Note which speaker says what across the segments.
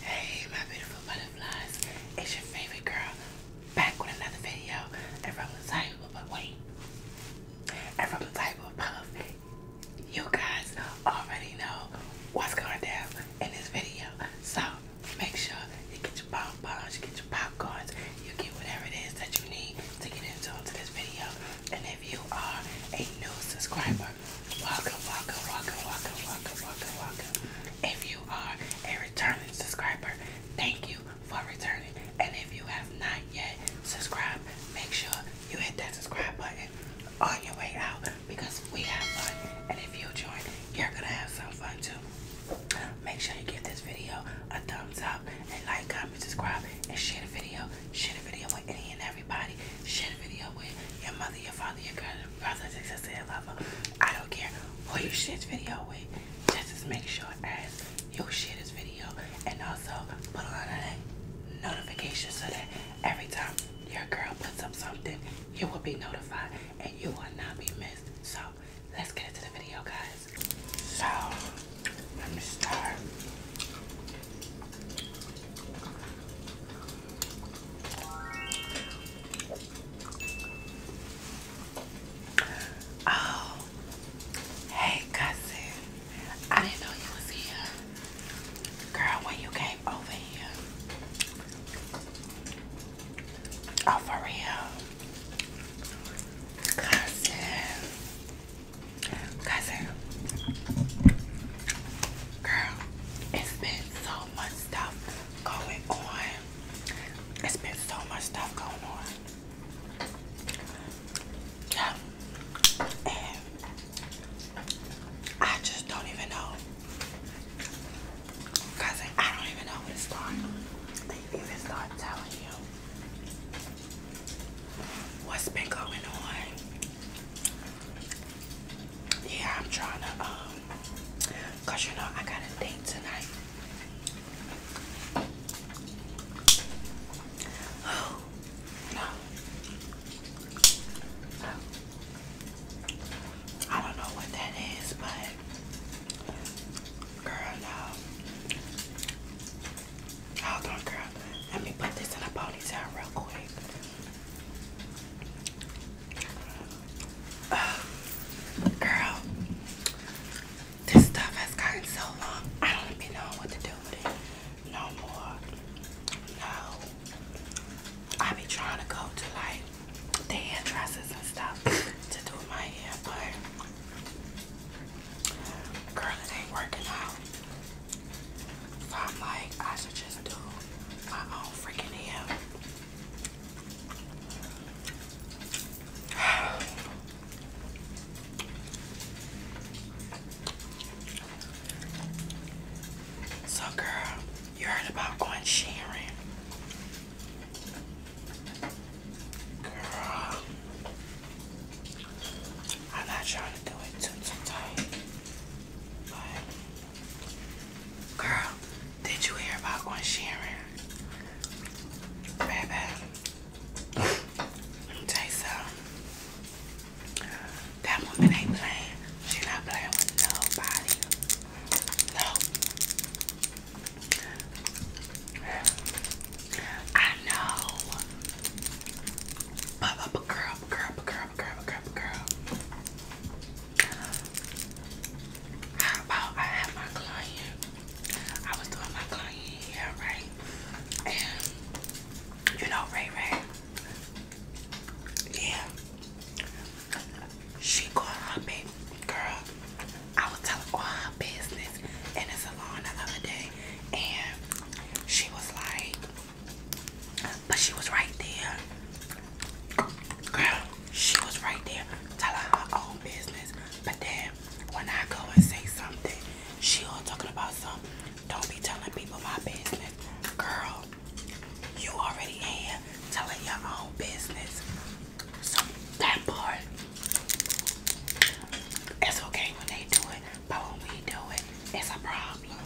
Speaker 1: Hey, my beautiful butterflies. It's your favorite girl, back with another video and Roman Table, but wait. And Roman Table Puff, you guys already know what's going down in this video. So make sure you get your bonbons, you get your popcorns, you get whatever it is that you need to get into, into this video. And if you are a new subscriber, welcome, welcome, welcome, welcome, welcome, welcome, welcome. If you are a returning subscriber, thank you for returning. And if you have not yet subscribed, make sure you hit that subscribe button on your way out because we have fun. And if you join, you're gonna have some fun too. Make sure you give this video a thumbs up and like, comment, subscribe, and share the video. Share the video with any and everybody. Share the video with your mother, your father, your brother, your sister, your lover, I don't care who you share this video with. Just make sure as you share this video and also put on that notification so that every time your girl puts up something, you will be notified and you will not be missed. So let's get into the video, guys. So let me start. Oh, hey cousin. I didn't know you was here. Girl, when you came over here. Oh, for real. Cousin. Cousin. Girl, it's been so much stuff going on. It's been so much stuff going on. Yeah. And I just don't even know. Cause I don't even know where to start. They even start telling you what's been going on. Yeah, I'm trying to um Cause you know I got a date tonight. Oh no. I don't know what that is, but girl no. Hold on girl. Let me put this in a ponytail real quick girl, this stuff has gotten so long. I don't even know what to do with it no more. No, I be trying to go to like the hairdressers and stuff to do my hair, but girl, it ain't working out. So I'm like, I should just do my own freaking hair. So girl, you heard about going sharing. Girl, I'm not trying to do it too, too tight, but Girl, did you hear about one Sharon? Baby, let me tell you something. That woman ain't playing. She not playing with nobody. No. I know. girl, girl, girl, girl, girl, girl. How about I have my client? I was doing my client here, right? And you know Ray Ray. Yeah. She called her baby girl. I was telling all her business in the salon the other day. And she was like, but she was right there. Girl, she was right there telling her own business. But then when I go and say something, she all talking about something. Don't be telling people my business. Girl, you already in telling your own business. So that part it's okay when they do it, but when we do it, it's a problem.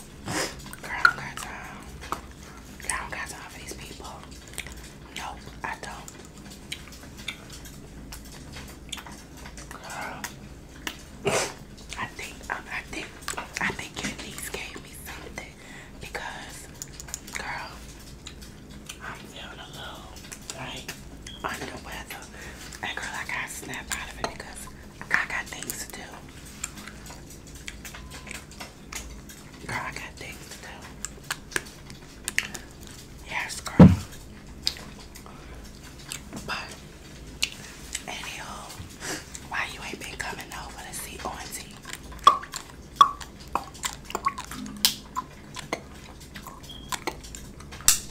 Speaker 1: Girl, I don't got time. Girl, I don't got time for these people. No, I don't. I think I think I think your niece gave me something because, girl, I'm feeling a little like under the weather, and girl, I gotta snap out of it because I got things to do. Girl, Yes, girl. But, anyhow, why you ain't been coming over to see Auntie?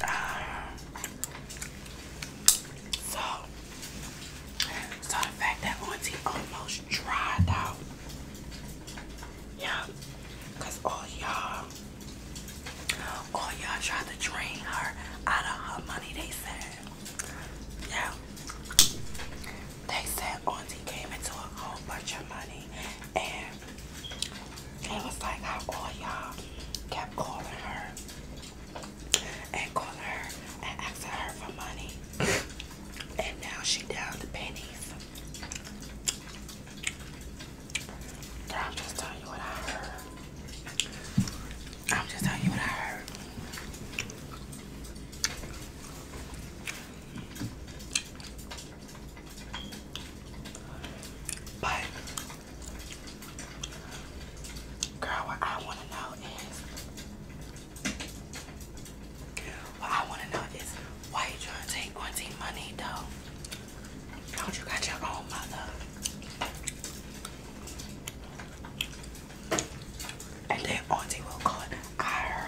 Speaker 1: Uh, so, so the fact that auntie almost dried out. Yeah, cause all y'all, all y'all tried to drain her out of her money. They said, yeah, they said auntie came into a whole bunch of money, and it was like how all y'all kept calling her and calling her and asking her for money. And now she down to pennies. I'm just telling you what I heard. I'm just telling you what I heard. But, girl, what I want to know is what I want to know is why you trying to take auntie money though? Don't you got your own mother? And then auntie will call. I heard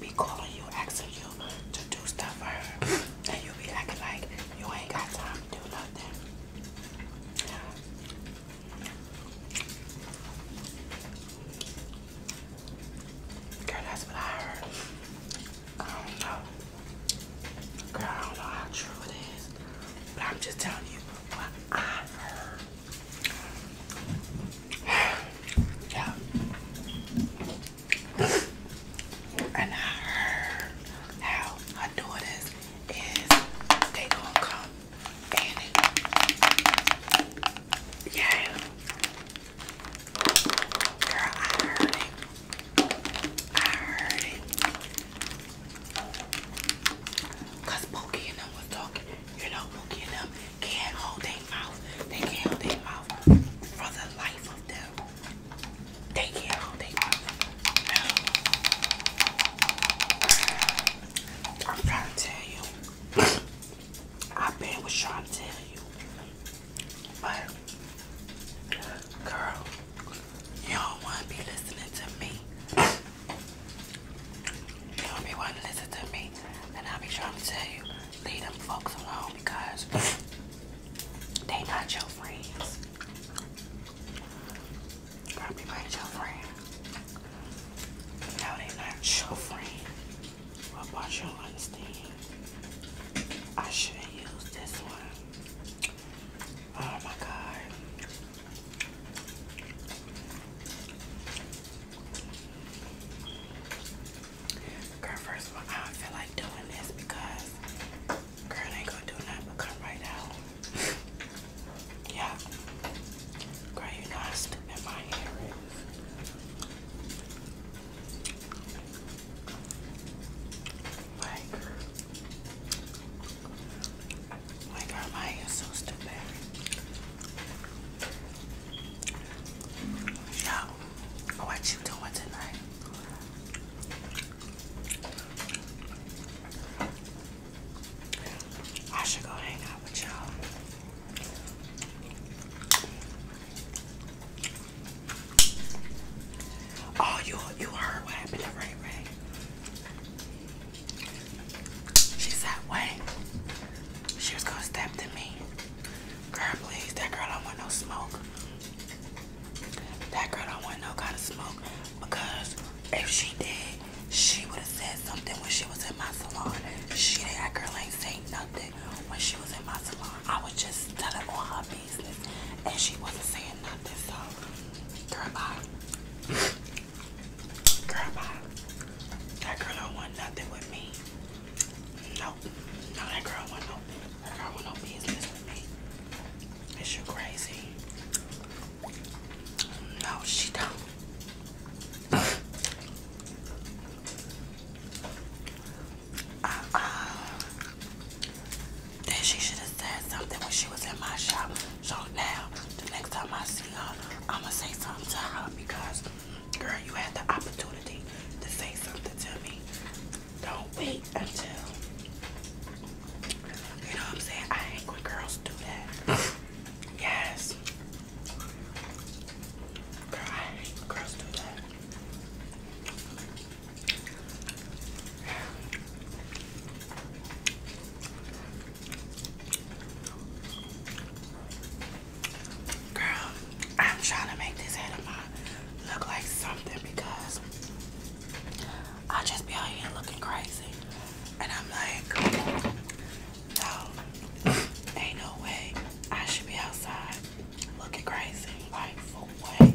Speaker 1: be calling you, asking you to do stuff for her. And you be acting like you ain't got time to do nothing. Girl, that's what I heard. I don't know. Girl, I don't know how true it is. But I'm just telling you what I heard. yeah. and I heard how her daughters is they gonna come and yeah. Girl, I heard it. I heard it. Cause and them was talking. You know, Pookie and them can't hold their mouth. They can't hold their mouth for the life of them. They can't hold their mouth. I'm trying to tell you. I've been was trying to tell you. But, girl, you don't want to be listening to me. You don't be wanting to listen to me. And I'll be trying to tell you, leave them folks alone because they not your friends got be made your friend. they not your friend. What about you understand? I should have used this one. Oh my god. Girl, first of all, I don't feel like doing this because girl ain't gonna do nothing but come right out yeah. Girl, you know how stupid my hair is. Like, my hair so stupid. Yo, what you doing tonight? I should go hang out with y'all. Oh, you you heard what happened to Ray Ray? She said, "Wait, she was gonna step to me." Girl, please, that girl do want no smoke. That girl do want no kind of smoke because if she did, she would have said something when she was in my salon. She didn't act her ain't saying nothing when she was in my salon. I was just telling on her business and she wasn't saying nothing. So, girl, bye. Girl, bye. That girl don't want nothing with me. Nope. No, that girl want no that girl want no business with me. Is you crazy? No, she don't. Uh, uh, then she should have said something when she was in my shop. So now, the next time I see her, I'm going to say something to her because, girl, you had the opportunity to say something to me. Don't wait until you know what I'm saying? I hate when girls do that. yes. Girl, I hate when girls do that. Girl, I'm trying to make this head of mine look like something because I just be out here looking crazy. And I'm like, no, ain't no way I should be outside looking crazy. Like, for You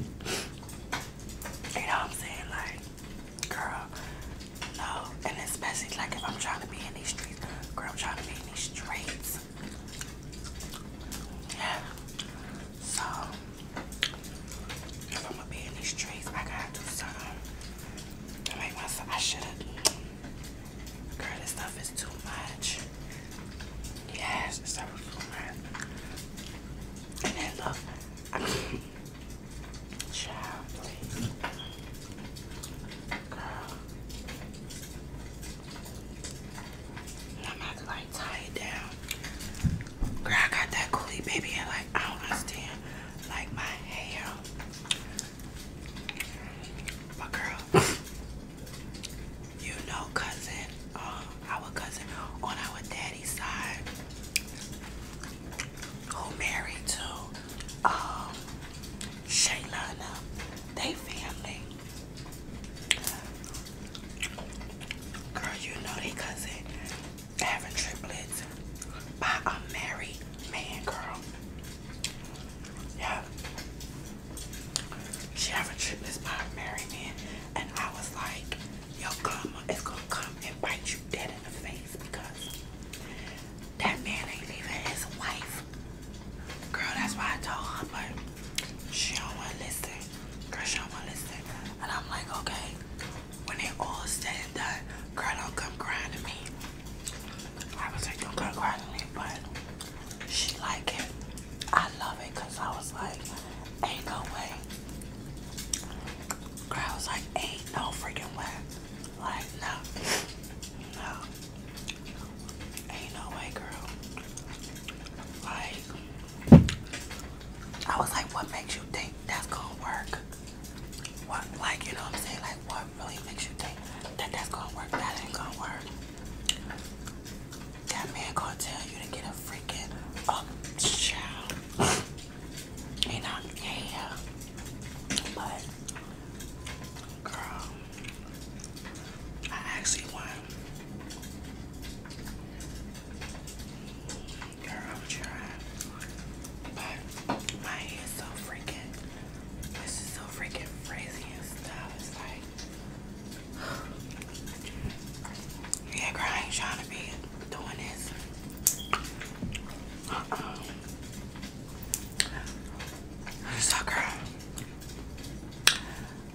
Speaker 1: know what I'm saying? Like, girl, no. And especially, like, if I'm trying to be in these streets, girl, I'm trying to be in these streets. Yeah. So. If I'm gonna be in these streets, I gotta do something. I make myself, I should have. Girl, this stuff is too much. Yes, this stuff is too much. And then look, child, please. Girl. I'm not like tie it down. Girl, I got that coolie baby and like I don't understand like my hair. But girl, you know cousin, um, our cousin on our daddy's side who married to um, Shaylana, they family. Girl, you know they cousin having triplets by a married man, girl. Yeah. She having triplets by a married man. And I was like, yo, karma is gonna come and bite you dead in the face because that man ain't even his wife. Girl, that's why I told her, but she don't wanna listen okay, Kershaw will listen. And I'm like, okay, when it all said and done, girl, don't come crying to me. I was like, don't come crying to me, but she like it. I love it because I was like, ain't no way. Girl, I was like, ain't no freaking way. Like, no. no. Ain't no way, girl. Like, I was like, what makes you think that's gonna work? What, like, you know what I'm saying? Like, what really makes you think that that's gonna work? That ain't gonna work. That man gonna tell you to get a freaking up child. And I'm yeah. But girl, I actually want." Girl, I'm trying. my hair is so freaking, this is so freaking crazy and stuff. It's like, yeah, girl, I ain't trying to be doing this. Uh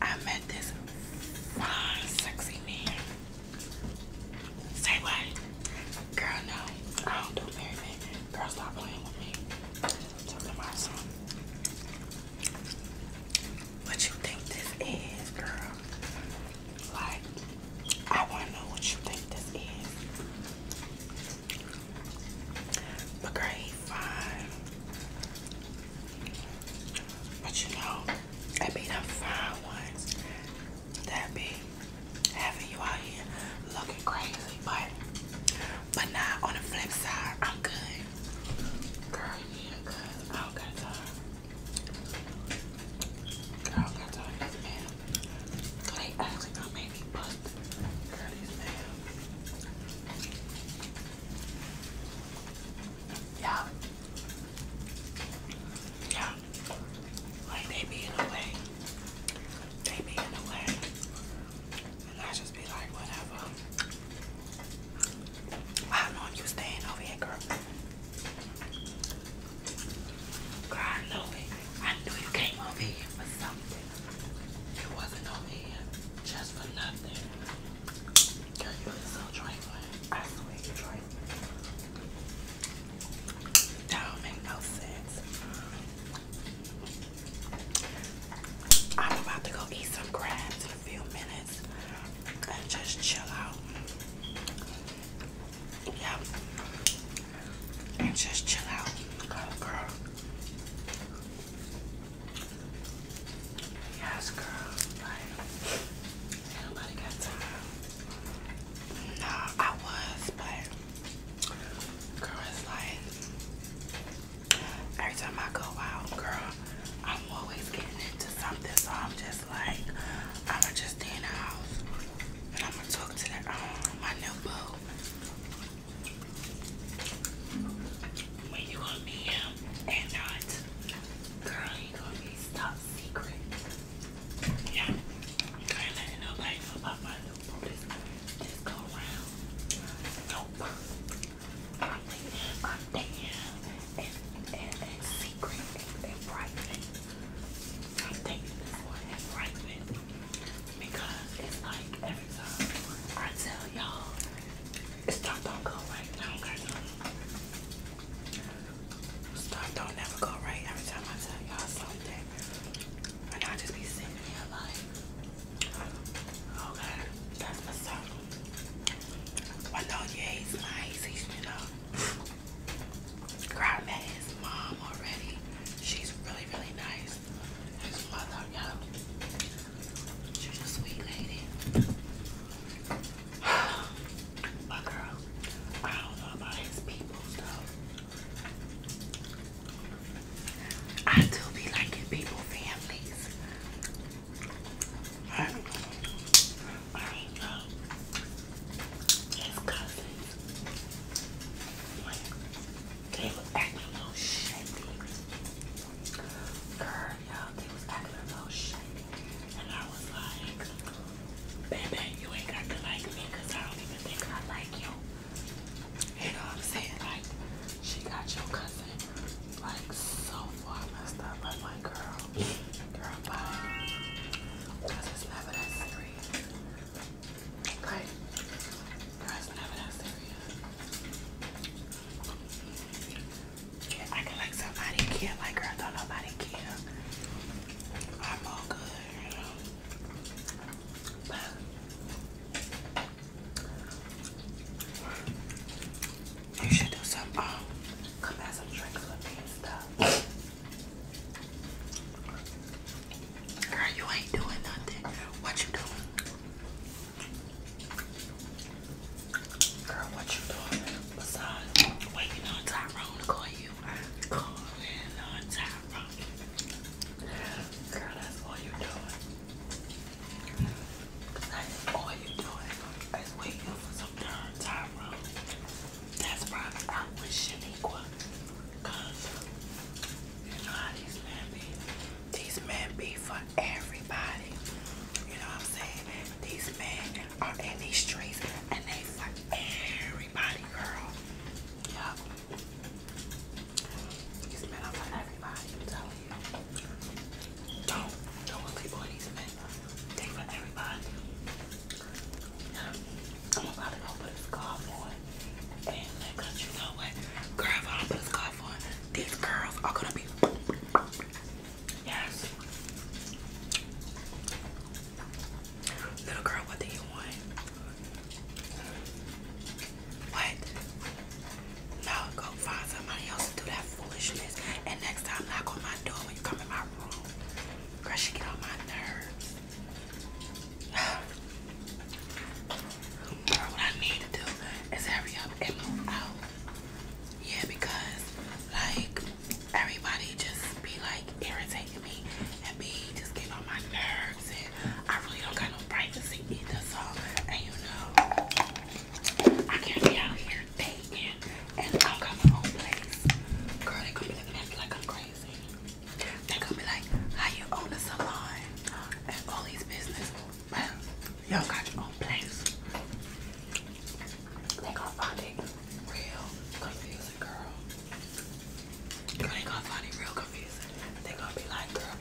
Speaker 1: I met this fine, sexy man. Say what? Girl, no. I don't do anything. Girl, stop playing with me. talking about something. What you think this is, girl? Like, I want to know what you think this is. But girl, he but you know, I mean, I find ones that be having you out here looking crazy, but but not on the flip side. I'm good, girl. Yeah, good. I don't got time. Girl, I don't got time. This man, cause actually gonna me bust. Girl, these man. Yeah. Yeah. Like they be in a way. They be in a way. And I just be like, whatever. I know you staying over here, girl. Girl, I know it. I knew you came over here for something. You wasn't over here just for nothing you look so trifling. I swear you trifling. That don't make no sense. I'm about to go eat some crabs in a few minutes and just chill out. Yep. And just chill out. girl. Yes, girl. Like, nobody got time. No, I was, but girl, it's like every time I go out, girl, I'm always getting into something. So I'm just like, I'ma just stay in the house and I'ma talk to um, my new boo. When you gonna and not, girl, you going be top secret. Yeah, you let nobody know about my new booties. Just go around. Nope. I'm thinking, damn and, and, and secret and, private. I'm taking this private because it's like I tell y'all, stuff don't go right. Stuff don't never go right. Every time I tell y'all something, and I just be sitting here like, oh God, that's my son. I know, yeah, he's nice. He's, you know, God met his mom already. She's really, really nice. His mother, yeah. You're a sweet lady. My girl, I don't know about his people though. I do be liking people families. I don't His cousins. they was acting a little shady. Girl, y'all, they was acting a shady. And I was like, baby, you ain't got to like me I don't even think I like you. You know what I'm saying? Like, she got your cousin, like, so far messed up. I'm like, girl, girl, bye. Because it's never that serious. Like, girl, it's never that serious. I can like somebody care like her, do nobody care. I'm all good, you should do some um, come have some drinks and stuff. Girl, you ain't doing nothing. What you doing? Girl, what you doing? Besides waiting on Tyrone to call you. Calling on Tyrone. Girl, that's all you're doing. That's all you're doing. Is waiting for some darn Tyrone. That's probably out with Shaniqua. Cause you know how these men be. These men be for everybody. You know what I'm saying? These men are in these streets and they for everybody, girl. Yup. These men are for everybody, Don't don't believe all these men. They for everybody. Yeah. I'm about to go put a scarf on. And Girl, if I don't put scarf on, these girls are gonna be Yes. Little girl, what do you want? What? No, go find somebody else to do that foolishness. And next time knock on my door when you come in my room. Girl, she get on my nerves. Girl, what I need to do is hurry up and move out. Yeah, because like everybody just be like irritating me and be just getting on my nerves and I really don't got no privacy either, so and you know I can't be out here dating and I don't got my Girl, they could be looking at I'm crazy they gonna be like, how you own a salon and all these business, but y'all got your own place. they gonna find it real confusing, girl. Girl, they gonna find it real confusing. they gonna be like, girl,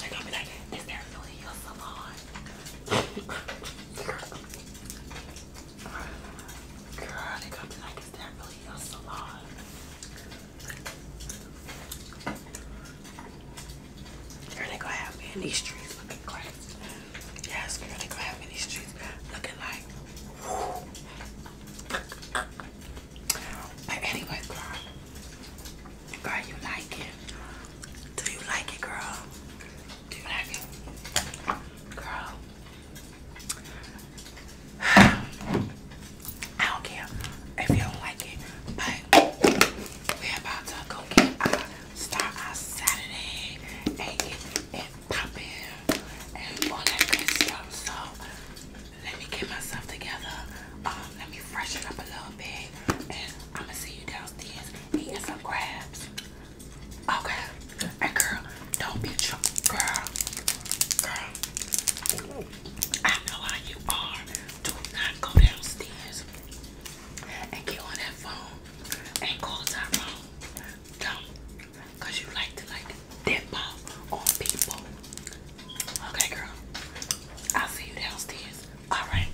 Speaker 1: they gonna be like, is there really your salon? Girl, they gonna be like, is there really your salon? Girl, they going have me these streets looking crazy. Yes, girl, they going have me streets looking like, But anyway, girl, girl, you like it? Do you like it, girl? Do you like it? Girl, I don't care if you don't like it, but we're about to go get out, start our Saturday and get it popping and all that good So let me get myself together. Um, let me freshen up a little bit, and I'm gonna see you downstairs eating some crabs. Okay. And girl, don't be your girl. Girl, I know how you are. Do not go downstairs and get on that phone and call Tyrone. Don't. you like to like dip on people. Okay, girl. I'll see you downstairs. Alright.